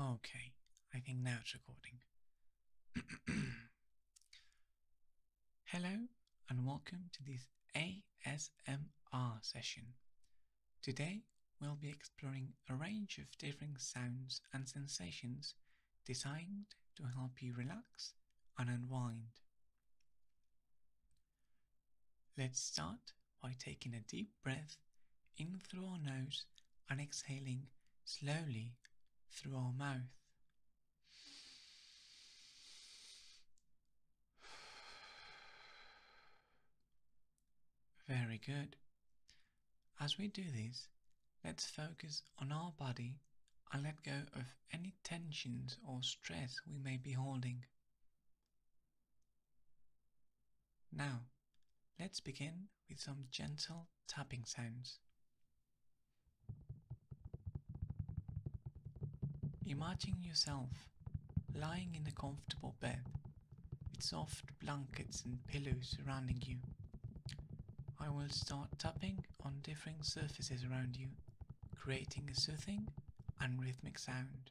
Okay, I think now it's recording. Hello and welcome to this ASMR session. Today we'll be exploring a range of different sounds and sensations designed to help you relax and unwind. Let's start by taking a deep breath in through our nose and exhaling slowly through our mouth. Very good. As we do this, let's focus on our body and let go of any tensions or stress we may be holding. Now, let's begin with some gentle tapping sounds. Imagine yourself lying in a comfortable bed with soft blankets and pillows surrounding you. I will start tapping on different surfaces around you, creating a soothing and rhythmic sound.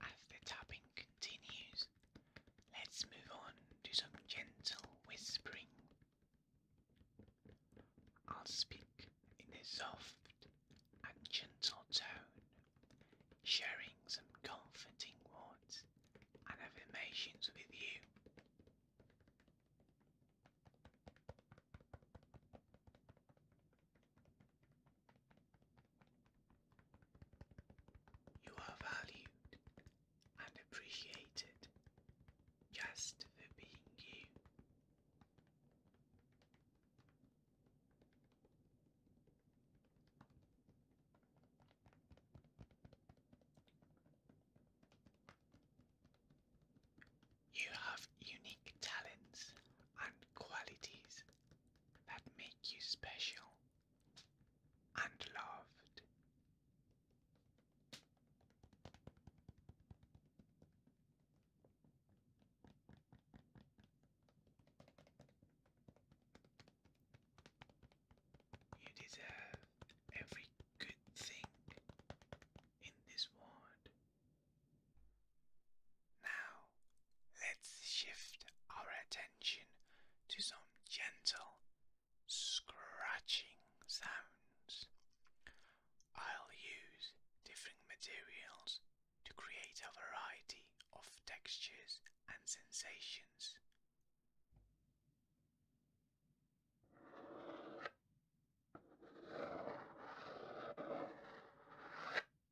As the tapping continues, let's move on to some gentle whispering. I'll speak in a soft and gentle tone, sharing some comforting words and affirmations with you. You are valued and appreciated just for being you. You have unique talents and qualities that make you special and loved. You deserve every good thing in this world. Now, let's shift our attention to some gentle scratching sounds. I'll use different materials to create a variety of textures and sensations.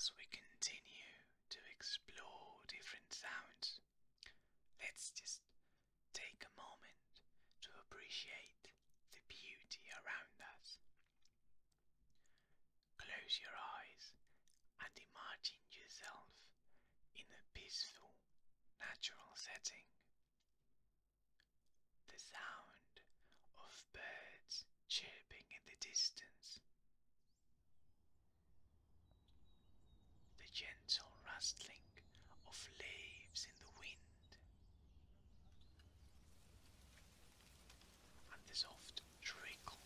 As we continue to explore different sounds, let's just take a moment to appreciate the beauty around us. Close your eyes and imagine yourself in a peaceful, natural setting. The sound of birds chirping in the distance, the gentle rustling of leaves in the wind, and the soft trickle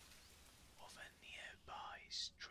of a nearby stream.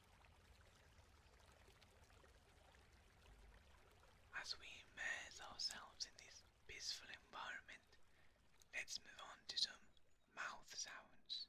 As we immerse ourselves in this peaceful environment, let's move on to some mouth sounds.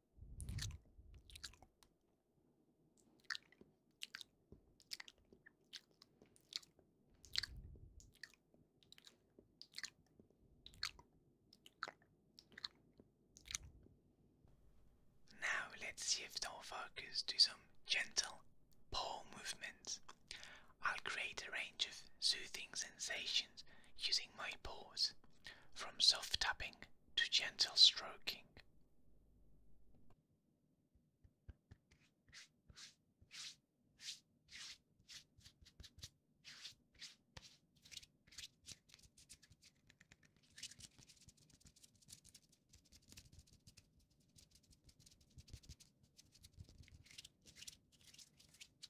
Now let's shift our focus to some gentle paw movements. I'll create a range of soothing sensations using my paws, from soft tapping to gentle stroking.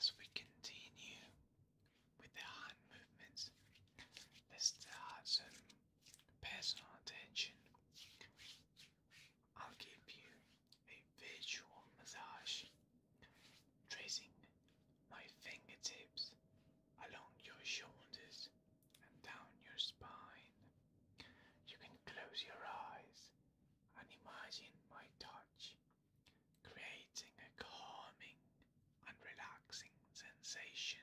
As we continue with the hand movements, let's add personal attention. I'll give you a visual massage, tracing my fingertips along your shoulders and down your spine. You can close your eyes and imagine my touch creating a calming and relaxing sensation.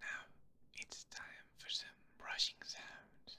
Now it's time for some brushing sounds.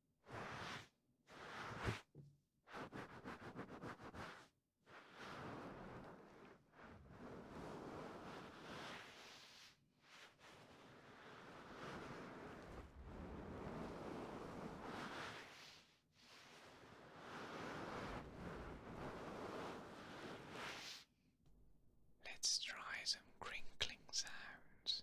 Let's try some crinkling sounds.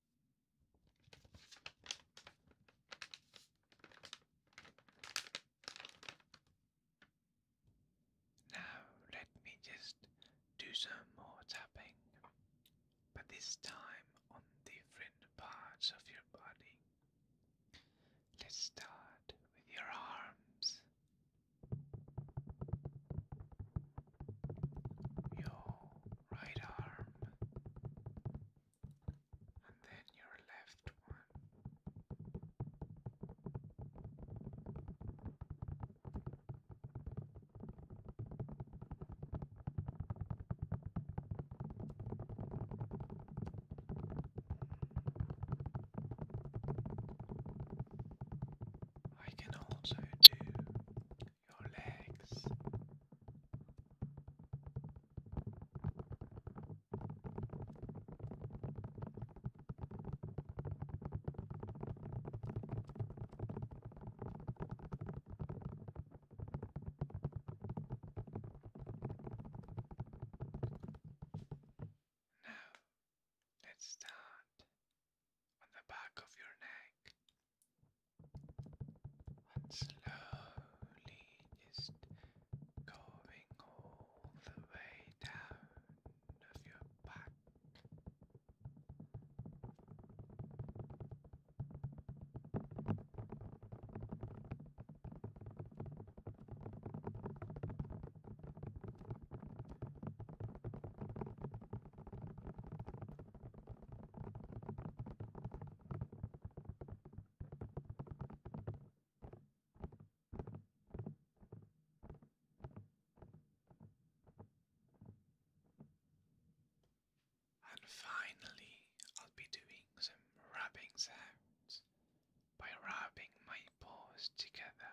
Now, let me just do some more tapping, but this time on different parts of your body. Let's start with your arms your right arm, and then your left one. I can also do your legs. Now Let's start on the back of your neck and slowly just going all the way down of your back. And finally, I'll be doing some rubbing sounds by rubbing my paws together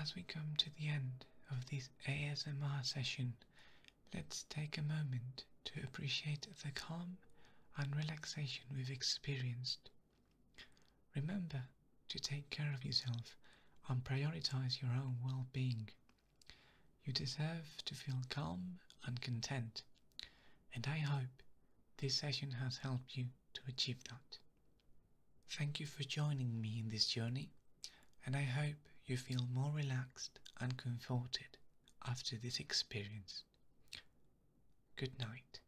As we come to the end of this ASMR session, let's take a moment to appreciate the calm and relaxation we've experienced. Remember to take care of yourself and prioritize your own well being. You deserve to feel calm and content, and I hope this session has helped you to achieve that. Thank you for joining me in this journey, and I hope you feel more relaxed and comforted after this experience. Good night.